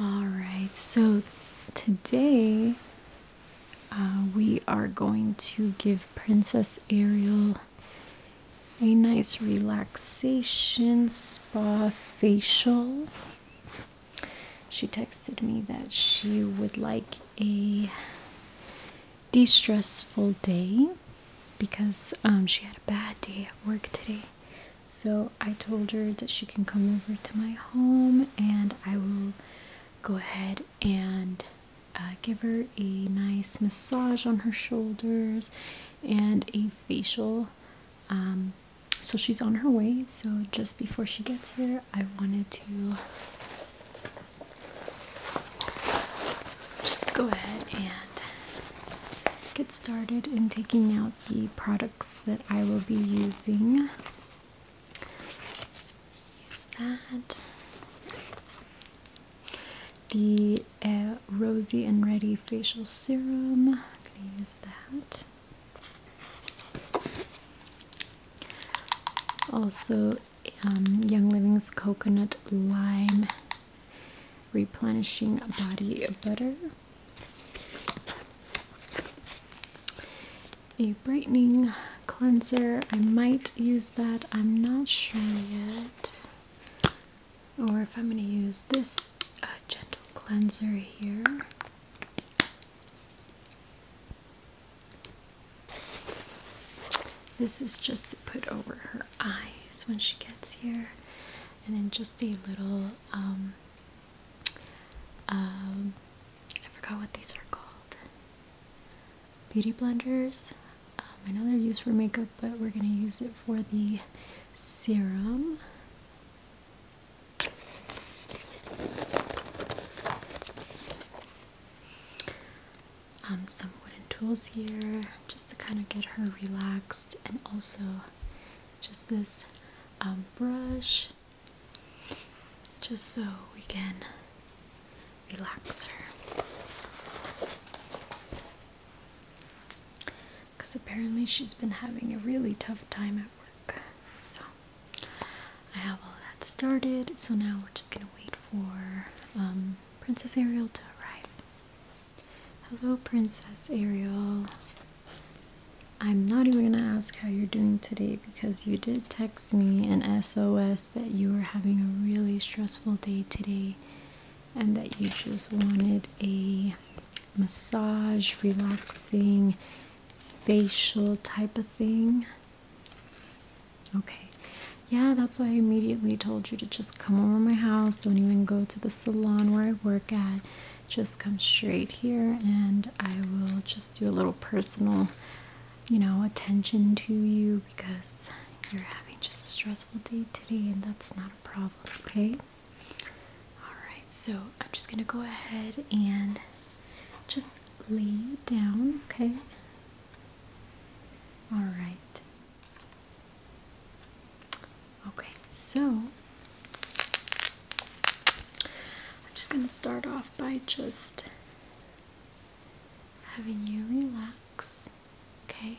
All right, so today uh, we are going to give Princess Ariel a nice relaxation spa facial. She texted me that she would like a de stressful day because um, she had a bad day at work today. So I told her that she can come over to my home and I will go ahead and uh, give her a nice massage on her shoulders and a facial. Um, so she's on her way. So just before she gets here, I wanted to just go ahead and get started in taking out the products that I will be using. Use that. The uh, Rosy and Ready Facial Serum. I'm going to use that. Also, um, Young Living's Coconut Lime Replenishing Body Butter a brightening cleanser. I might use that. I'm not sure yet. Or if I'm going to use this uh, gentle cleanser here. This is just to put over her eyes when she gets here. And then just a little um, um, I forgot what these are called. Beauty blenders. Um, I know they're used for makeup, but we're gonna use it for the serum. Um, some wooden tools here just to kind of get her relaxed, and also just this um, brush just so we can relax her. Because apparently she's been having a really tough time at work. So I have all that started. So now we're just going to wait for um, Princess Ariel to arrive. Hello, Princess Ariel. I'm not even gonna ask how you're doing today because you did text me an SOS that you were having a really stressful day today and that you just wanted a massage, relaxing, facial type of thing. Okay, yeah, that's why I immediately told you to just come over my house, don't even go to the salon where I work at just come straight here and I will just do a little personal, you know, attention to you because you're having just a stressful day today and that's not a problem, okay? Alright, so I'm just going to go ahead and just lay you down, okay? Alright. Okay, so I'm just going to start off by just having you relax, okay?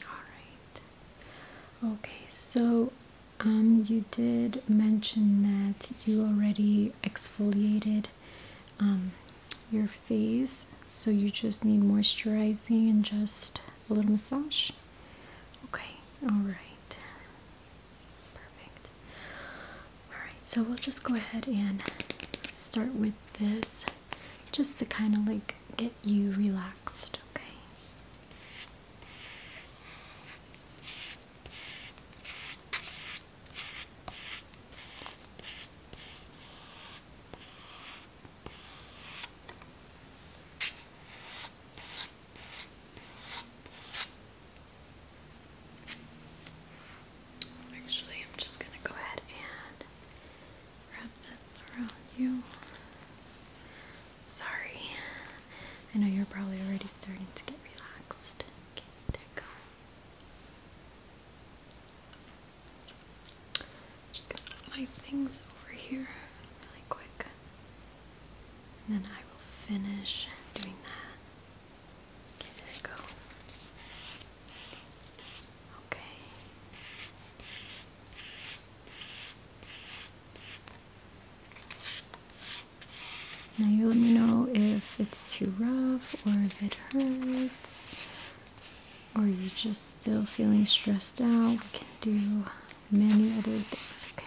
All right. Okay, so um you did mention that you already exfoliated um your face so you just need moisturizing and just a little massage okay all right perfect all right so we'll just go ahead and start with this just to kind of like get you relaxed okay Actually, I'm just going to go ahead and wrap this around you. Sorry, I know you're probably already starting to get relaxed. Okay, there just put my things over here really quick. then I will finish doing that. Okay, there go. Okay. Now you let me know if it's too rough or if it hurts or you're just still feeling stressed out, we can do many other things, okay?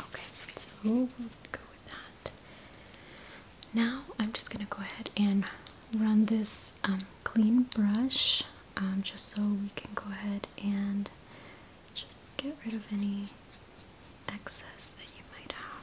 Okay, so go with that. Now I'm just gonna go ahead and run this um, clean brush um, just so we can go ahead and just get rid of any excess that you might have.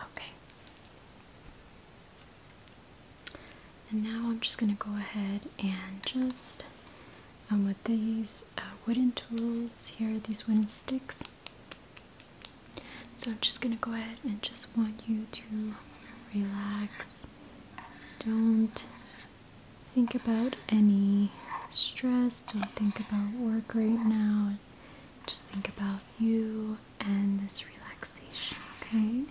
Okay. And now I'm just going to go ahead and just, um, with these uh, wooden tools here, these wooden sticks. So I'm just going to go ahead and just want you to relax. Don't think about any stress, don't think about work right now. Just think about you and this relaxation, okay?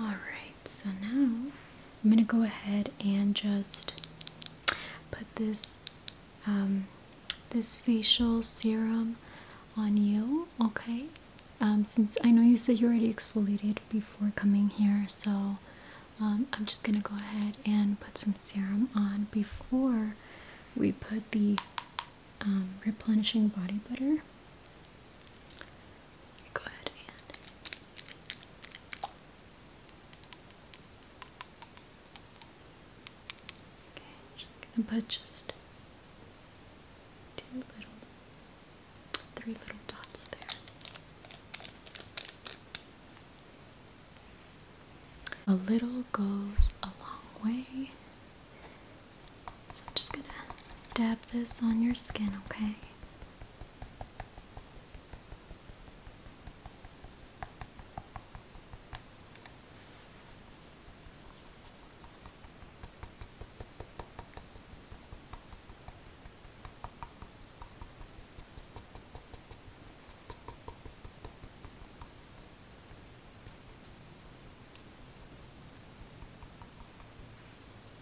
Alright, so now I'm going to go ahead and just put this um, this facial serum on you, okay? Um, since I know you said you already exfoliated before coming here, so um, I'm just going to go ahead and put some serum on before we put the replenishing body butter. So just two little three little dots there. A little goes a long way. So I'm just gonna dab this on your skin, okay?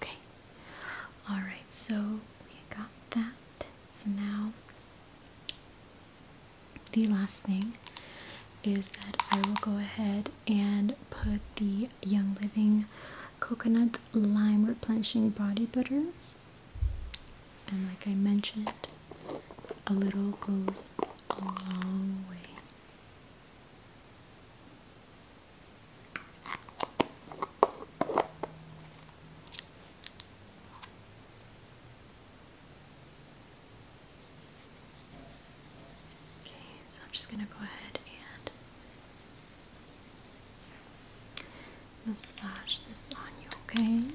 Okay. All right, so we got that. So now the last thing is that I will go ahead and put the Young Living Coconut Lime Replenishing Body Butter. And like I mentioned, a little goes a long way. Okay, so I'm just going to go ahead and massage this on you, okay?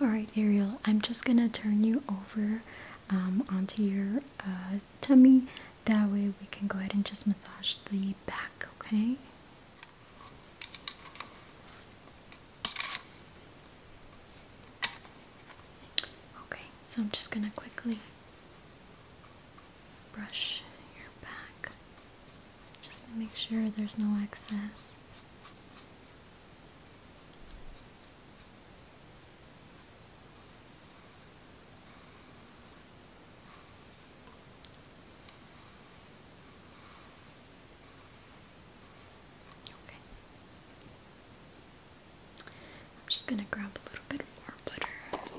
All right, Ariel, I'm just gonna turn you over um, onto your uh, tummy. That way we can go ahead and just massage the back, okay? Okay, so I'm just going to quickly brush your back just to make sure there's no excess. Okay. I'm just going to grab a little bit more butter here.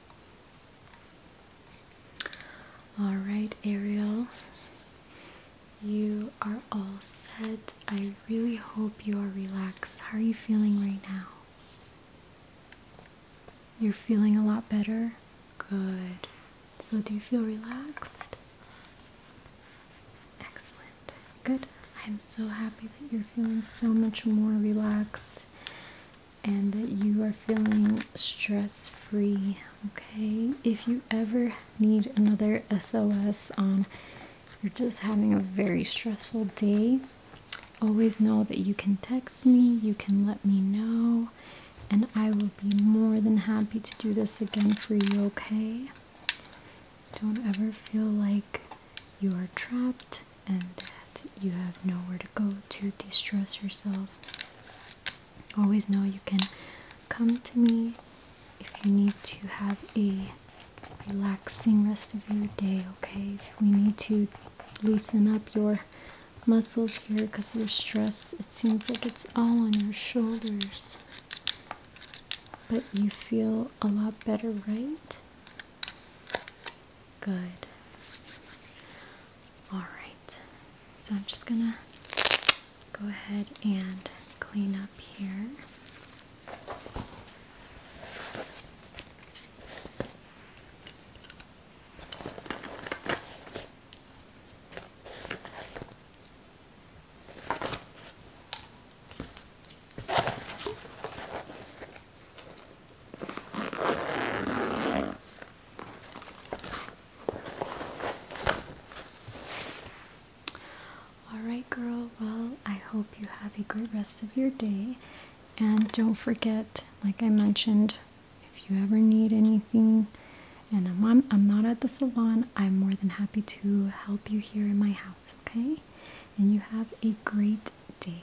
All right, Ariel, you are all set. I really hope you are relaxed. How are you feeling right now? You're feeling a lot better? Good. So, do you feel relaxed? Excellent. Good. I'm so happy that you're feeling so much more relaxed and that you are feeling stress free. Okay, if you ever need another SOS on you're just having a very stressful day, always know that you can text me, you can let me know, and I will be more than happy to do this again for you. Okay, don't ever feel like you are trapped and you have nowhere to go to distress yourself. Always know you can come to me if you need to have a relaxing rest of your day, okay? we need to loosen up your muscles here because of stress, it seems like it's all on your shoulders. But you feel a lot better, right? Good. Alright, so I'm just gonna go ahead and clean up here. Alright, girl, well, I hope you have a great rest of your day. And don't forget, like I mentioned, if you ever need anything, and I'm, on, I'm not at the salon, I'm more than happy to help you here in my house, okay? And you have a great day.